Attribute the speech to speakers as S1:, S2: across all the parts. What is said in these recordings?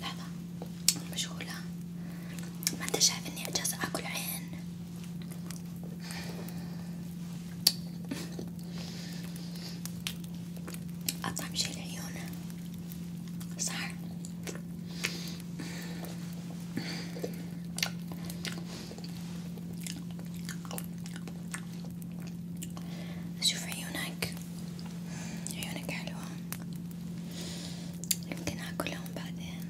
S1: لحظة مشغولة ما انت شايف اني اجازة اكل عين اطعم شي العيون صح اشوف عيونك عيونك حلوة يمكن أكلهم بعدين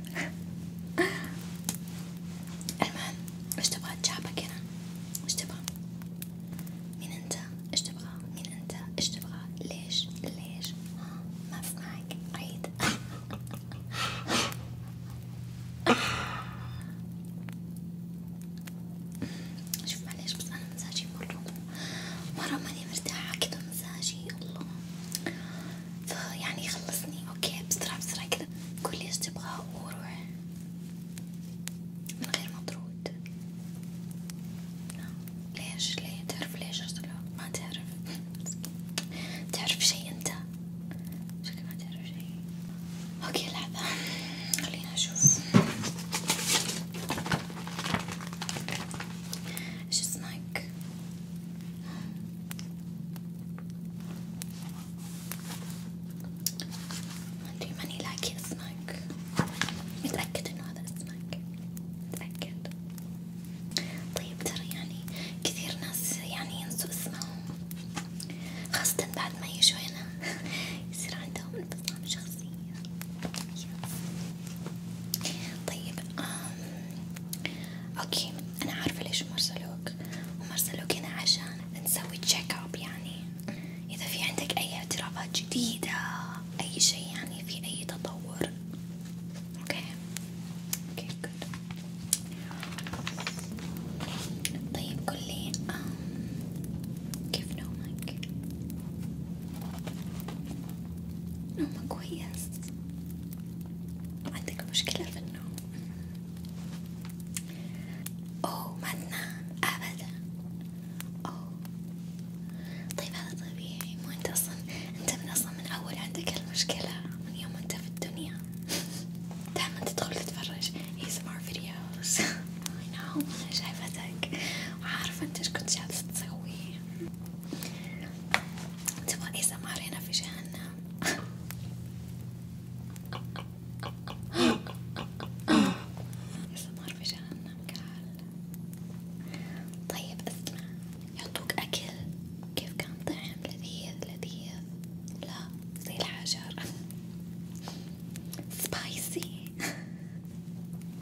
S1: المهم إيش تبغى تجابك هنا؟ إيش تبغى؟ مين أنت؟ إيش تبغى؟ مين أنت؟ إيش تبغى؟ ليش؟ ليش؟ ما أسمعك عيد شوف معليش بس أنا مزاجي مرة مرة ماني مرتاحة كذا مزاجي الله فيعني خلصني أوكي بسرعة بسرعة كذا قولي إيش تبغى وروح من غير مطرود ليش ليه تعرف ليش أرسله ما تعرف تعرف شي أنت شكلك ما تعرف شي اوكي لحظة خلينا نشوف ايش اسمك؟ ما ادري ماني لاقي اسمك متأكد انه هذا اسمك متأكد طيب ترى يعني كثير ناس يعني ينسوا اسمهم خاصة بعد ما يجوا هنا يصير عندهم تصميم شخصية طيب آم. اوكي انا عارفة ليش مرسلوك ومرسلوك هنا عشان نسوي تشيك اب يعني اذا في عندك اي اعترافات جديدة اي شي يعني في اي تطور اوكي اوكي جود طيب قولي كيف نومك؟ نومك كويس؟ عندك مشكلة في النوم؟ أوه ما تنام أبدا أوه طيب هذا طبيعي مو أنت أصلا أنت من أصلا من أول عندك المشكلة من يوم أنت في الدنيا دائما تدخل تتفرج ASMR فيديوز videos أنا شايفتك وعارفة انت ايش كنت جالسة تسوي تبغى ASMR هنا في جهنم ASMR في جهنم قال طيب اسمع يعطوك أكل كيف كان طعم لذيذ لذيذ لا زي الحجر سبايسي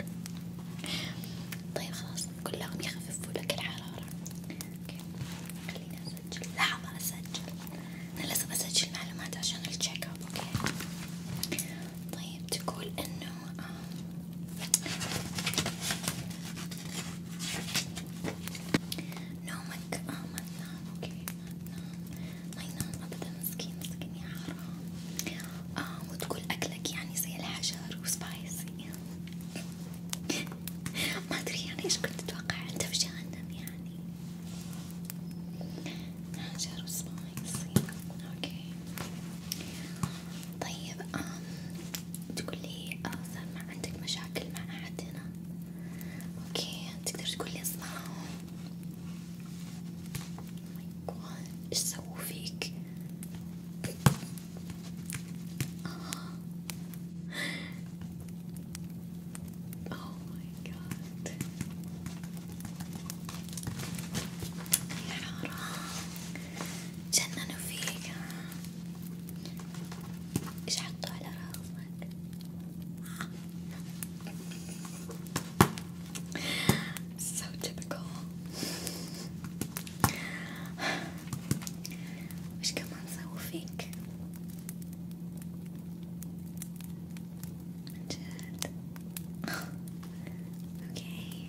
S1: طيب خلاص كلهم يخففوا لك الحرارة اوكي خليني اسجل لحظة اسجل انا لازم اسجل معلومات عشان التشيك اب اوكي طيب تقول انه نومك اه ما تنام اوكي ما تنام ما ينام أبدا مسكين مسكين يا حرام آه وتقول أكلك يعني زي الحجر وسبايسي ما أدري يعني إيش كنت تتوقع أنت في جهنم يعني حجر وسبايسي أوكي طيب آم تقول لي سلمى آه، عندك مشاكل مع أحد هنا؟ أوكي تقدر تقول لي اسمعهم ايش سووا فيك؟ آه. Oh my God. يا حرام جننوا فيك ايش حطوا على راسك؟ So typical. Which commands I will Okay.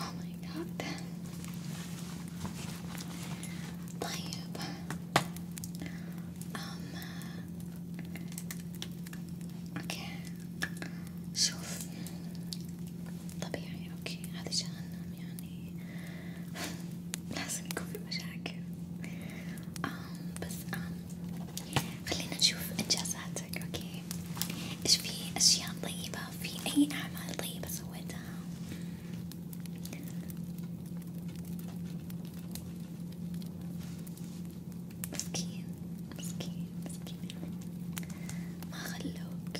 S1: Oh my god. طيب أم اوكي شوف طبيعي اوكي هذا جهنم يعني لازم يكون في مشاكل أم بس أم خلينا نشوف انجازاتك اوكي ايش في اشياء طيبة في اي اعمال طيبة سويتها مسكين مسكين مسكين ما خلوك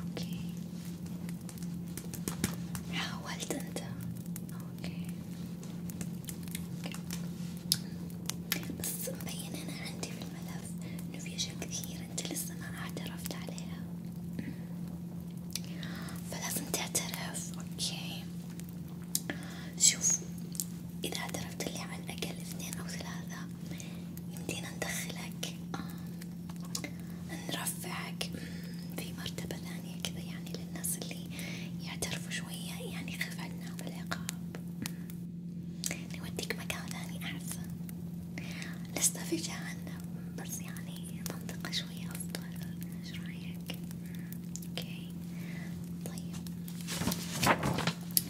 S1: اوكي حاولت انت اوكي بس مبين انا عندي في الملف انه في اشياء كثير انت لسه ما اعترفت عليها فلازم تعترف اوكي شوف اذا اعترفت لي على الاقل اثنين او ثلاثة يمدينا ندخلك نرفعك في مرتبة ثانية كذا يعني للناس اللي يعترفوا شوية يعني خف عنا بالعقاب نوديك مكان ثاني أحسن لست في جهنم بس يعني المنطقة شوي أفضل، إيش رأيك؟ أوكي طيب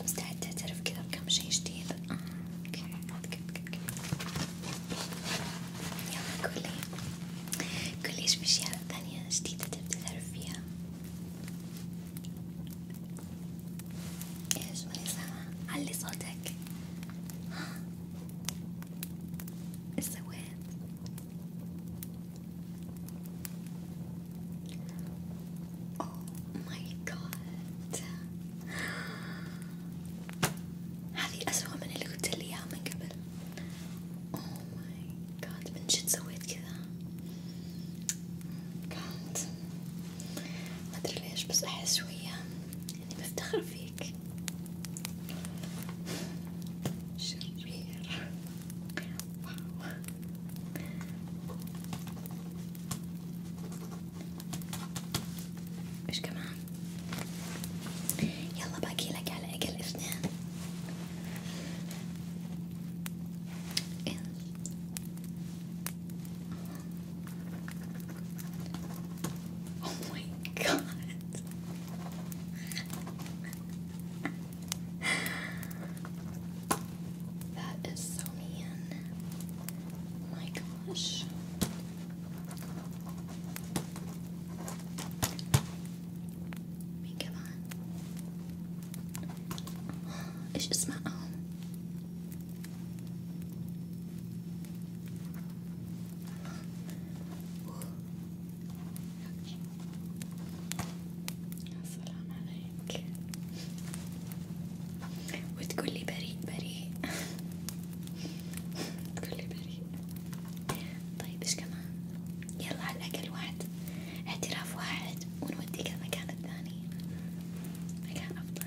S1: مستعد تعترف كذا بكم شي جديد؟ آه، أوكي أوكي أوكي يلا قولي قولي إيش في أشياء ثانية جديدة تبي تعرف فيها؟ ايش ماني سامعة علي صوتك ها ايش سويت اوه ماي جاد هذه أسوأ من اللي قلت لي اياها من قبل اوه ماي جاد من جد سويت كذا كانت oh ما ادري ليش بس احس شويه أنا بفتخر فيك شرير واو إيش كمان؟ يلا باقي لك على أقل اثنين Oh my god. that is so mean. Oh my gosh. I mean, come on. It's just my own. السلام عليك وتقولي بريء بريء تقولي بريء طيب ايش كمان يلا على الاقل واحد اعتراف واحد ونوديك المكان الثاني مكان افضل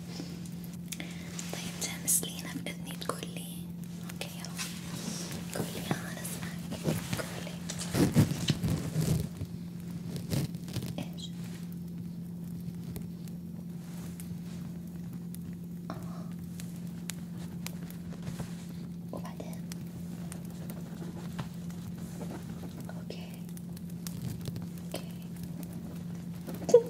S1: طيب جامس لينا بإذني تقولي اوكي يلا قولي آه، انا اسمعك قولي ايش؟ آه. وبعدين اوكي اوكي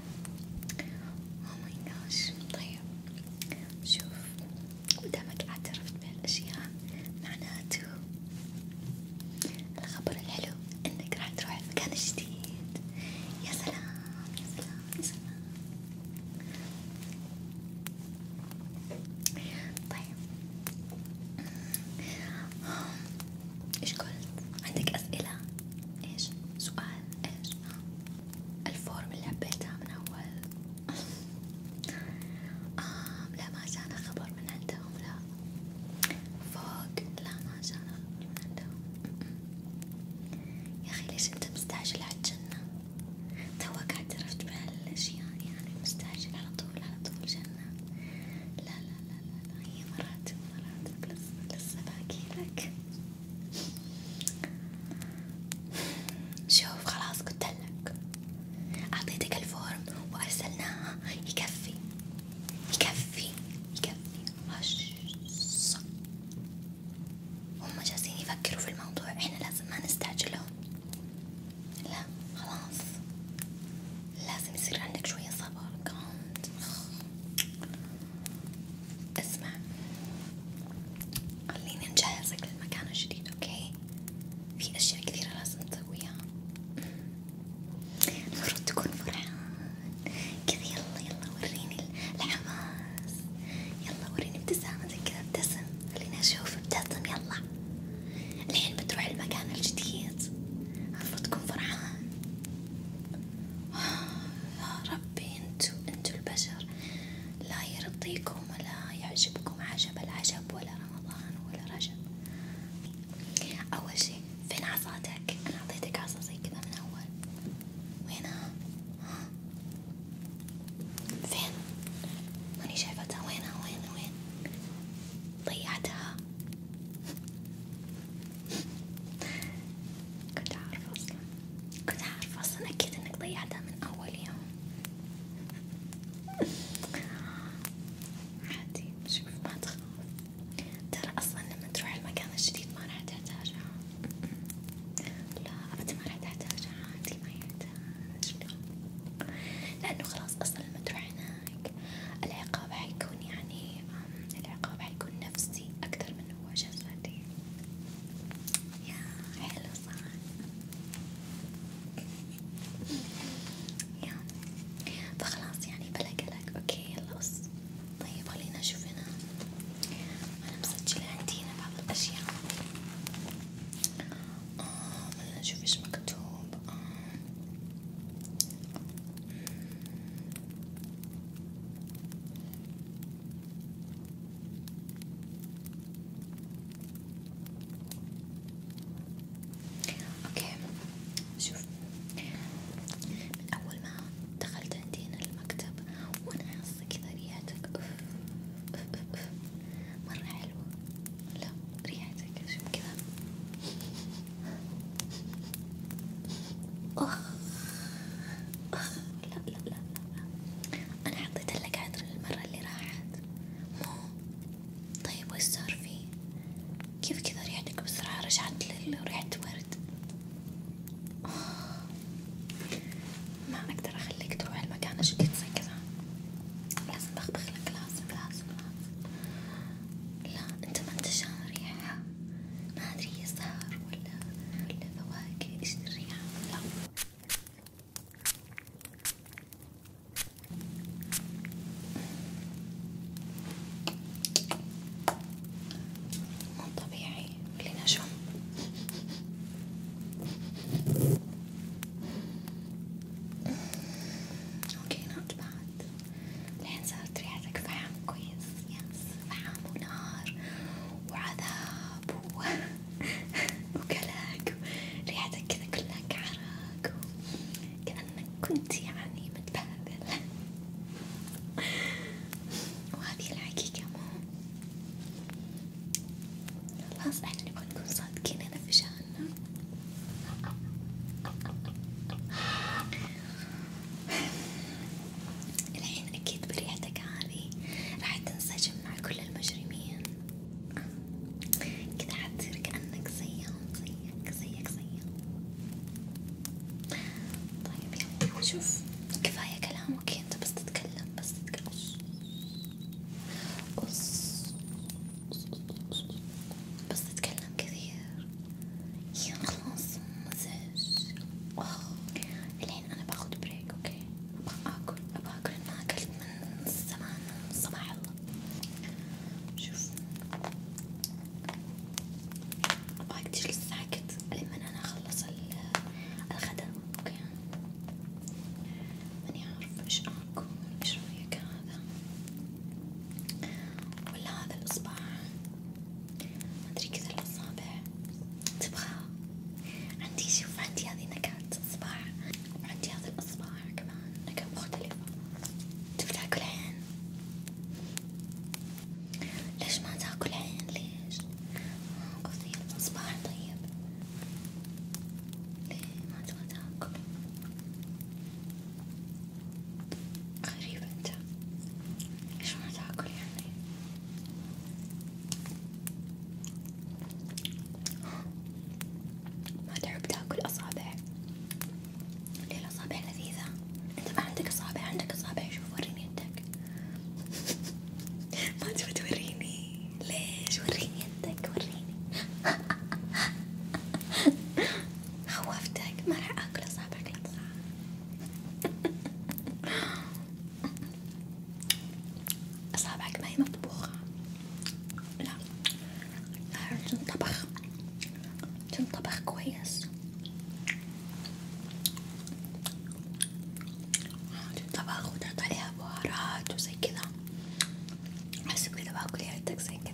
S1: Oh my gosh طيب شوف مدامك اعترفت بهالأشياء معناته الخبر الحلو إنك راح تروح المكان الجديد يا سلام يا سلام يا سلام طيب إيش قلت؟ عندك أسئلة؟ إيش؟ سؤال؟ إيش؟ آه. الفورم اللي عبيتها من أول آم لا ما جانا خبر من عندهم لا فوق لا ما جانا خبر من عندهم يا أخي ليش أنت مستعجل على الجنة؟ توك اعترفت بهالأشياء يعني،, يعني مستعجل على طول على طول جنة لا لا لا لا, لا. هي مراتب مراتب لسه باقي لك شوف خلاص قلتلك اعطيتك الفورم وارسلناها يكفي يكفي يكفي هش هم جالسين يفكروا في الموضوع احنا لازم ما نستعجلهم لا خلاص لازم يصير عندك شوية صبر كانت اسمع خليني نجهزك للمكان الجديد اوكي في اشياء كثيرة لازم تسويها المفروض تكون فرحان كذا يلا يلا وريني الحماس يلا وريني ابتسامتك كذا ابتسم خليني اشوف ابتسم يلا الحين بتروح المكان الجديد المفروض تكون فرحان آه، يا ربي عارفين انتو, انتو البشر لا يرضيكم ولا يعجبكم عجب العجب ولا رمضان ولا رجب اول شي فين عصاتك؟ انا اعطيتك عصا زي كذا من اول وينها؟ ها؟ فين؟ ماني شايفتها وينها وين وين؟ ضيعتها كنت عارفة أصلا كنت عارفة أصلا أكيد إنك ضيعتها من أول يوم عادي شوف ما تخاف ترى أصلا لما تروح المكان الجديد ما راح تحتاجها لا أبدا ما راح تحتاجها عادي ما يحتاج لأنه خلاص أصلا لما تروح هناك العقاب حيكون يعني العقاب حيكون نفسي أكثر من وجسدي يا حلو صح يا فخلاص يعني بلا قلق اوكي يلا بس طيب خلينا نشوف هنا انا مسجلة عندي هنا بعض الاشياء آه خلينا نشوف ايش مكتوب آه. اوكي شوف من اول ما دخلت عندينا المكتب وانا حاسة كذا ريحتك أوف أوف أوف أوف مرة حلوة لا ريحتك شوف كذا أخ أخ لا لا لا لا أنا حطيت لك عطر المرة اللي راحت مو طيب وش صار فيه؟ كيف كذا ريحتك بسرعة رجعت لريحة ورد؟ ما أقدر أخليك تروح المكان جديد زي كذا لازم بخبخ لك لازم لازم لازم لا أنت ما أنت شامم ريحة ما أدري يسار ولا ولا فواكه إيش الريحة لا مو طبيعي خلينا شم اوكي نط بعد الحين صارت ريحتك فحم كويس يس فحم ونار وعذاب و... وكلاك ريحتك كذا كلها كعرق كأنك كنت يعني متبهدل وهذه الحقيقة مو خلاص احنا نبغى نكون صادقين هنا في شأننا الحين أكيد بريحتك هذه راح تنسجم مع كل المجرمين كذا حتصير كأنك زيهم زيك زيك زيهم طيب يلا شوف كفاية كلامك أنت بس تتكلم بس تتكلم بس تتكلم كثير يا خلاص مزعج معلش الحين أنا باخد بريك أوكي أبغى آكل أبغى آكل ما أكلت من زمان من صباح الله شوف أبغاك تجلس ساكت لمن أنا أخلص الغدا أوكي ماني عارفة إيش آكل إيش رأيك هذا ولا هذا الإصبع مدري كذا الأصابع تبغى عندي شوف عندي هذه نكهات أصبع وعندي هذه الأصبع كمان نكهة مختلفة تبي تاكل عين؟ ليش ما تاكل عين ليش؟ آه قصدي الأصبع طيب ليه ما تبغى تاكل؟ غريب انت ايش ما تاكل يعني ما تحب تاكل اصابع ليه الاصابع لذيذة انت ما عندك اصابع عندك اصابع شوف وريني يدك ما تبي توريني ليش وريني يدك وريني خوفتك ما راح اكل اصابعك لا أصابعك ما هي مطبوخة لا لا تنطبخ تنطبخ كويس تنطبخ وتحط عليها بهارات وزي كذا حسب كذا باكل يدك زي كذا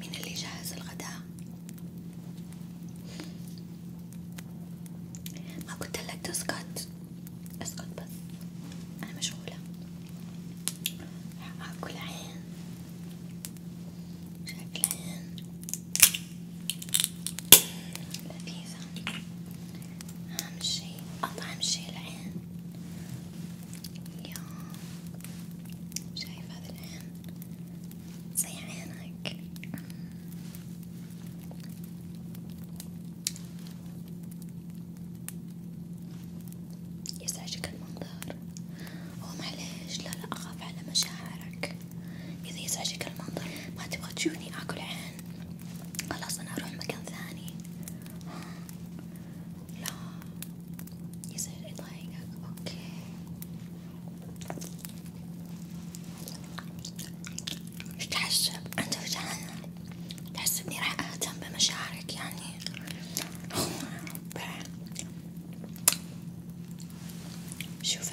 S1: مين اللي جهز الغداء؟ ما قلت لك تسكت اسكت بس انا مشغولة اكل عين شكل عين لذيذة أهم شي أطعم شي العين يا شايف هذا العين زي عينك يزعجك المنظر هو معليش لا لا أخاف على مشاعرك إذا يزعجك المنظر ما تبغى تشوفني آكل عين خلاص أنا أروح مكان ثاني لا يزعل يضايقك أوكي مش تحسب أنت وجعان تحسبني راح أهتم بمشاعرك يعني شوف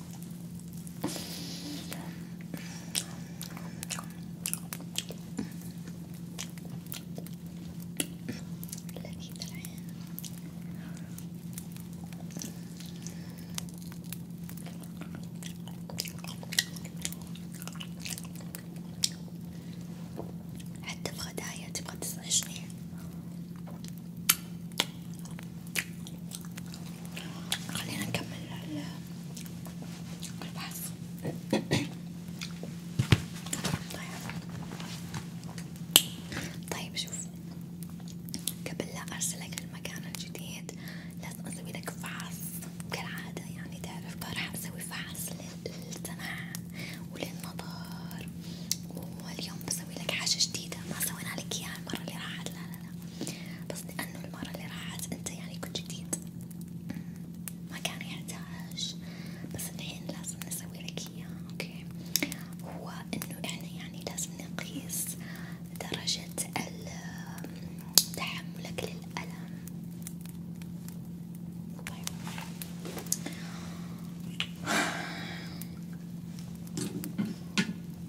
S1: لذيذ العين حتى في غدايا تبغى تزعجني خلينا نكمل البحث طيب شوف قبل لا ارسلك المكان الجديد لازم اسوي لك فحص كالعادة يعني تعرف راح اسوي فحص للسمع وللنظر واليوم بسوي لك حاجة جديدة ما سوينا لك اياها المرة اللي راحت لا لا لا بس لأنه المرة اللي راحت أنت يعني كنت جديد ما كان يحتاج بس الحين لازم نسوي لك إياه أوكي هو إنه إحنا يعني لازم نقيس درجة تحملك للألم طيب.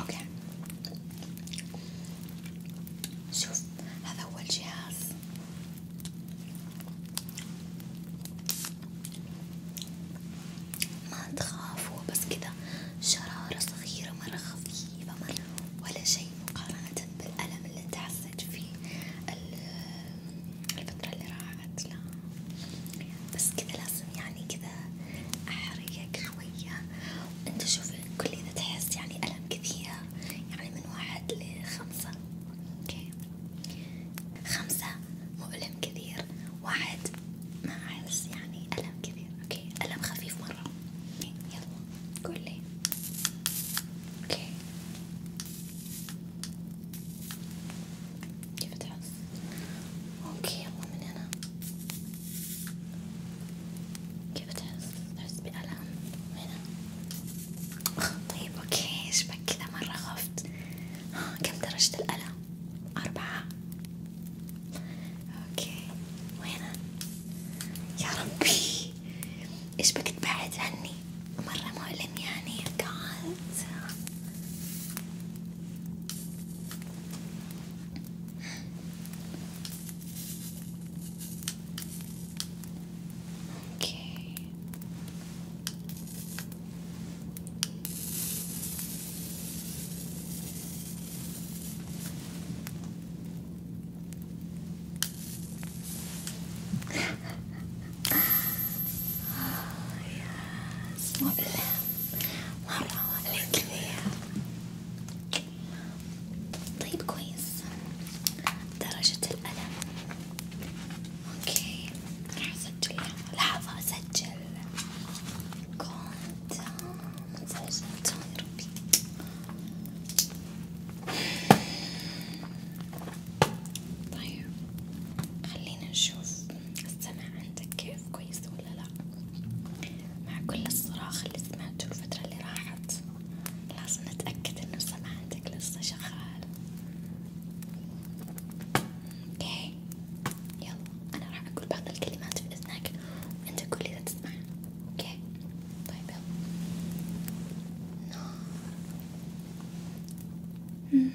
S1: اوكي شوف هذا اول جهاز ما تخافوا بس كذا شرارة صغيرة مرة خفيفة مرة ولا شيء مقارنة بالألم اللي انت حسيت فيه الفترة اللي راحت بعد لا بس كذا لازم يعني كذا أحريك شوية أنت شوف كل إذا تحس يعني ألم كثير يعني من واحد لخمسة أوكي خمسة مؤلم كثير واحد ما أحس يعني ألم كثير أوكي ألم خفيف مرة يلا قول لي أوكي كيف تحس؟ اوكي يلا من هنا كيف تحس؟ تحس بألم هنا؟ طيب اوكي شبك كذا مرة خفت كم درجة الألم؟ أربعة اوكي وهنا يا ربي ايش بك تبعد عني مرة مؤلم يعني يا hands. Okay. oh, yes, more الله الله عليك طيب كويس درجة الألم اوكي راح اسجلها لحظة اسجل كنت سجلتها يا ربي طيب خلينا نشوف السمع عندك كيف كويس ولا لا؟ مع كل الصراخ اللي سمعته الفترة اللي راحت لازم نتأكد إنه السمع عندك لسه شغال اوكي يلا أنا راح أقول بعض الكلمات في إذنك وأنت قولي إذا تسمع اوكي طيب يلا نار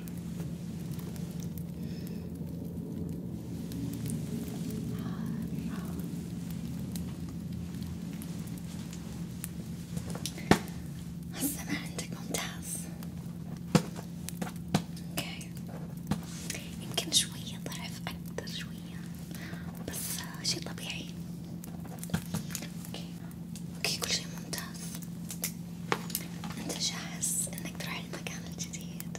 S1: هسه ما عندك ممتاز اوكي يمكن شوية ضعف أكثر شوية بس شي طبيعي اوكي اوكي كل شي ممتاز ممتاز انت جاهز انك تروح المكان الجديد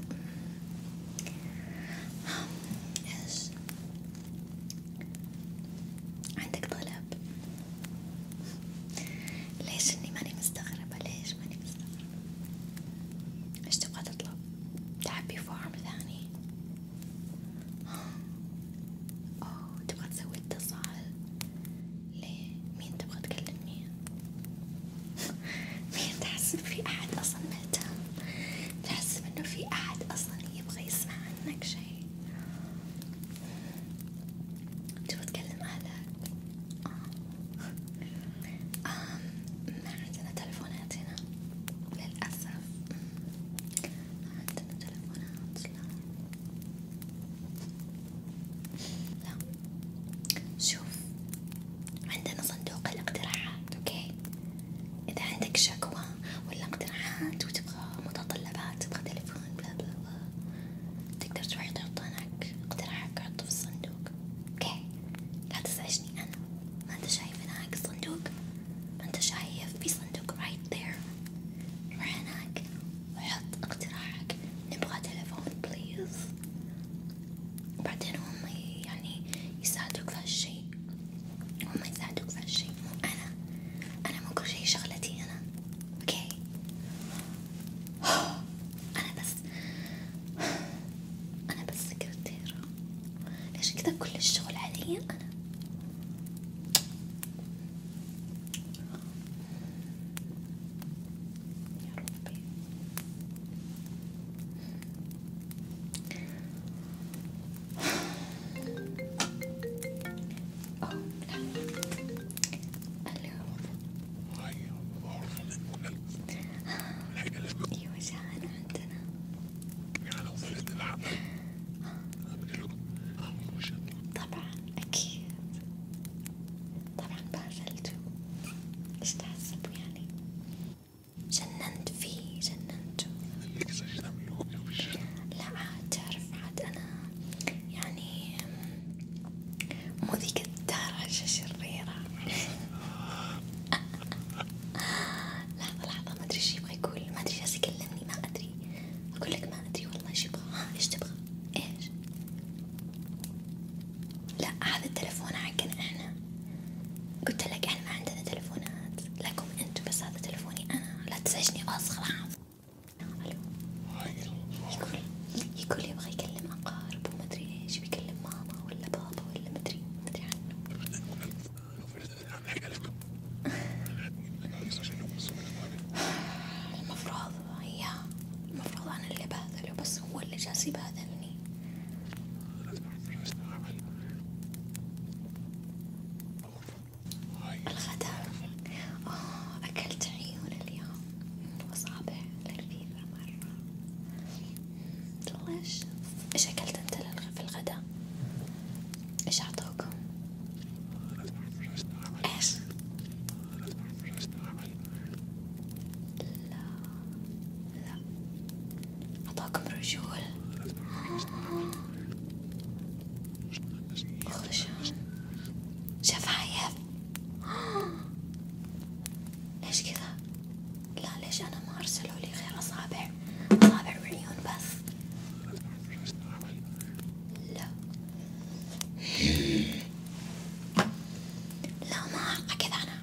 S1: ايش عندك طلب ليش اني ماني مستغربة ليش ماني مستغربة ايش تبغى تطلب تحبي فورم ثاني أوه. أوه. تبغى تسوي اتصال ليه مين تبغى تكلم مين؟ مين تحسب في أحد أصلا مهتم؟ تحسب إنه في أحد أصلا يبغى يسمع عنك شيء؟ تبغى تكلم أهلك؟ آه. آه. ما عندنا تلفونات هنا للأسف ما عندنا تلفونات لا لا شوف عندنا صندوق الاقتراحات اوكي اذا عندك شكوى ولا اقتراحات وتبغى متطلبات تبغى تليفون بلا بلا بلا تقدر تروح تحط هناك اقتراحك حطه في الصندوق اوكي لا تزعجني انا ما انت شايف هناك الصندوق ما انت شايف في صندوق right there روح هناك رأيك وحط اقتراحك نبغى تلفون بليز وبعدين هم يعني يساعدوك في هالشي هم يساعدوك في هالشي مو أنا أنا مو كل شي شغلتي أنا أوكي أنا بس أنا بس سكرتيرة ليش كذا كل الشغل علي أنا يا ربي أوه لا اليوم هيا أيوة جاءنا عندنا يعني وصلت الحمام طبعا أكيد طبعا بازلته ايش تحسبوا يعني جننت فيه جننته لا عاد تعرف عاد أنا يعني مو ذيك الدرجة شريرة لحظة لحظة ما أدري إيش يبغى يقول ما أدري جالس يكلمني ما أدري أقول لك ما أدري والله إيش يبغى إيش تبغى إيش لا هذا التلفون حقنا احنا قلت لك احنا ما عندنا تلفونات لكم انتم بس هذا تلفوني انا لا تزعجني اصغر عام الو يقول يقول يبغى يكلم اقارب وما ادري ايش بيكلم ماما ولا بابا ولا ما ادري ما ادري عنه المفروض المفروض هي المفروض أنا اللي باذله بس هو اللي جالس يباذلني الغداء آه أكلت عيون اليوم وأصابع لذيذة مرة والله إيش أكلت أنت في الغداء؟ إيش أعطوكم؟ إيش؟ لا لا أعطاكم رجول خشن شفايف ليش كذا؟ لا ليش أنا ما أرسلوا لي غير أصابع أصابع وعيون بس لا لا ما أكذا أنا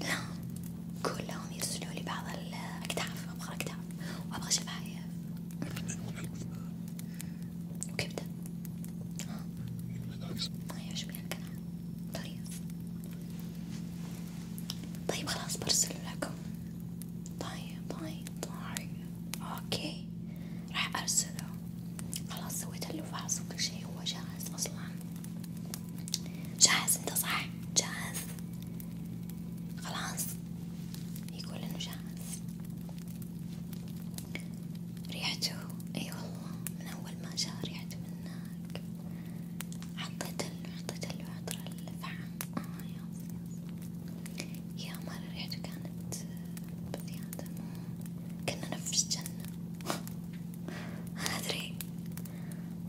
S1: لا قول لهم يرسلوا لي بعض الأكتاف أبغى أكتاف وأبغى شفايف وكبدة ما يعجبني الكلام طيب طيب خلاص برسل لكم طيب طيب طيب اوكي راح ارسله خلاص سويت له فحص وكل شيء هو جاهز اصلا جاهز انت صح جاهز خلاص يقول انه جاهز ريحته اي والله من اول ما جاء ريحته من هناك حطيت له حطيت له عطر الفحم اه يا يا مرة ريحته كانت بزيادة كنا نفس جنة ما أدري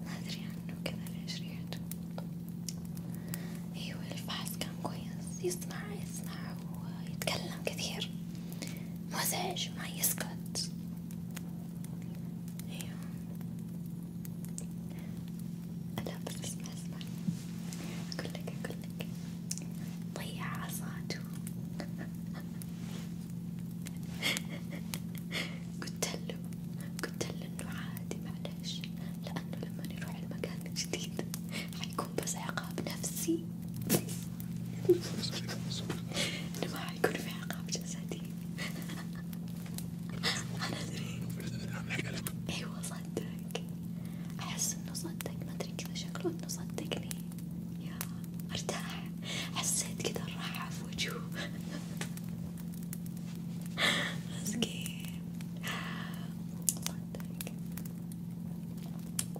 S1: ما أدري عنه كذا ليش ريحته أيوة الفحص كان كويس يسمع يسمع ويتكلم كثير مزعج ما يسكت أيوة لا بس اسمع اسمع أقول لك أقول لك ضيع طيب عصاته قلت له قلت له إنه عادي معلش لأنه لما نروح المكان الجديد حيكون بس عقاب نفسي إنه ما حيكون في عقاب جسدي أنا أدري أيوة صدق أحس إنه صدق ما أدري كذا شكله إنه صدقني يا أرتاح حسيت كذا الراحة في وجهه مسكين صدق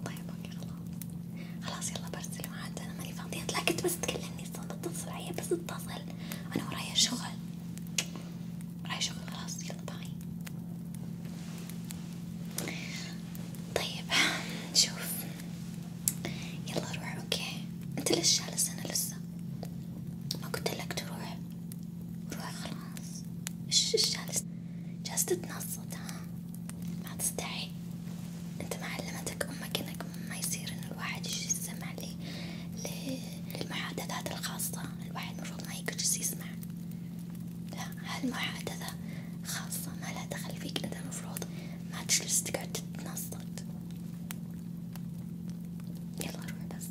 S1: طيب اوكي خلاص خلاص يلا برسل معاد أنا ماني فاضية لا كنت بس تكلمني اتصل علي بس اتصل أنا ورايا شغل راح اشوف خلاص يلا باي طيب شوف يلا روح اوكي انت ليش جالس هنا لسه ما قلت لك تروح روح خلاص ايش جالس جالس تتنصت ها ما تستحي انت ما علمتك امك انك ما يصير ان الواحد يجي يسمع لي المحادثات الخاصة الواحد مفروض ما يجلس يسمع لا هالمحادثة خاصة ما لها دخل فيك انت مفروض ما تجلس تقعد تتنصت يلا روح بس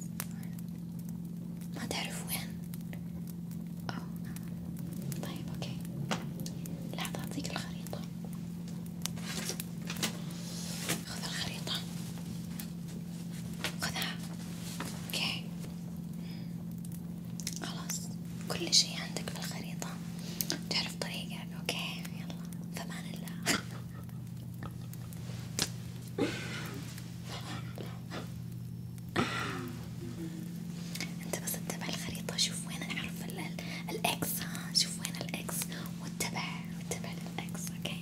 S1: ما تعرف وين أو. طيب اوكي لحظة اعطيك الخريطة خذ الخريطة خذها اوكي خلاص كل شي عندك بالخريطة تعرف طريقك اوكي يلا فمان الله انت بس اتبع الخريطة شوف وين اعرف الاكس ها شوف وين الاكس واتبع واتبع الاكس اوكي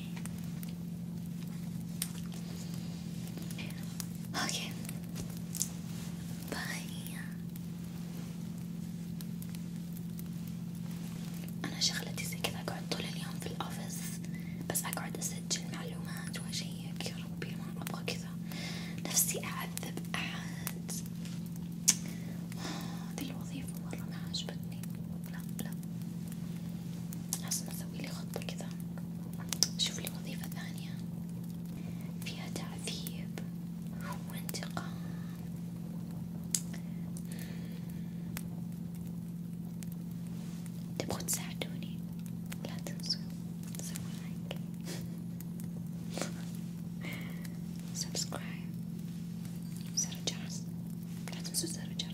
S1: Okay. باي أنا شغلتي زي كذا أقعد طول اليوم في الأوفيس بس أقعد أسجل معلومات وأشيك يا ربي ما أبغى كذا نفسي أعذب أحد آه، ذي الوظيفة مرة ما عجبتني لا لا لازم اسويلي خطة كذا شوفلي وظيفة ثانية فيها تعذيب وانتقام تبغوا تساعدوني لا تنسوا سووا لايك سبسكرايب زر الجرس لا تنسوا زر الجرس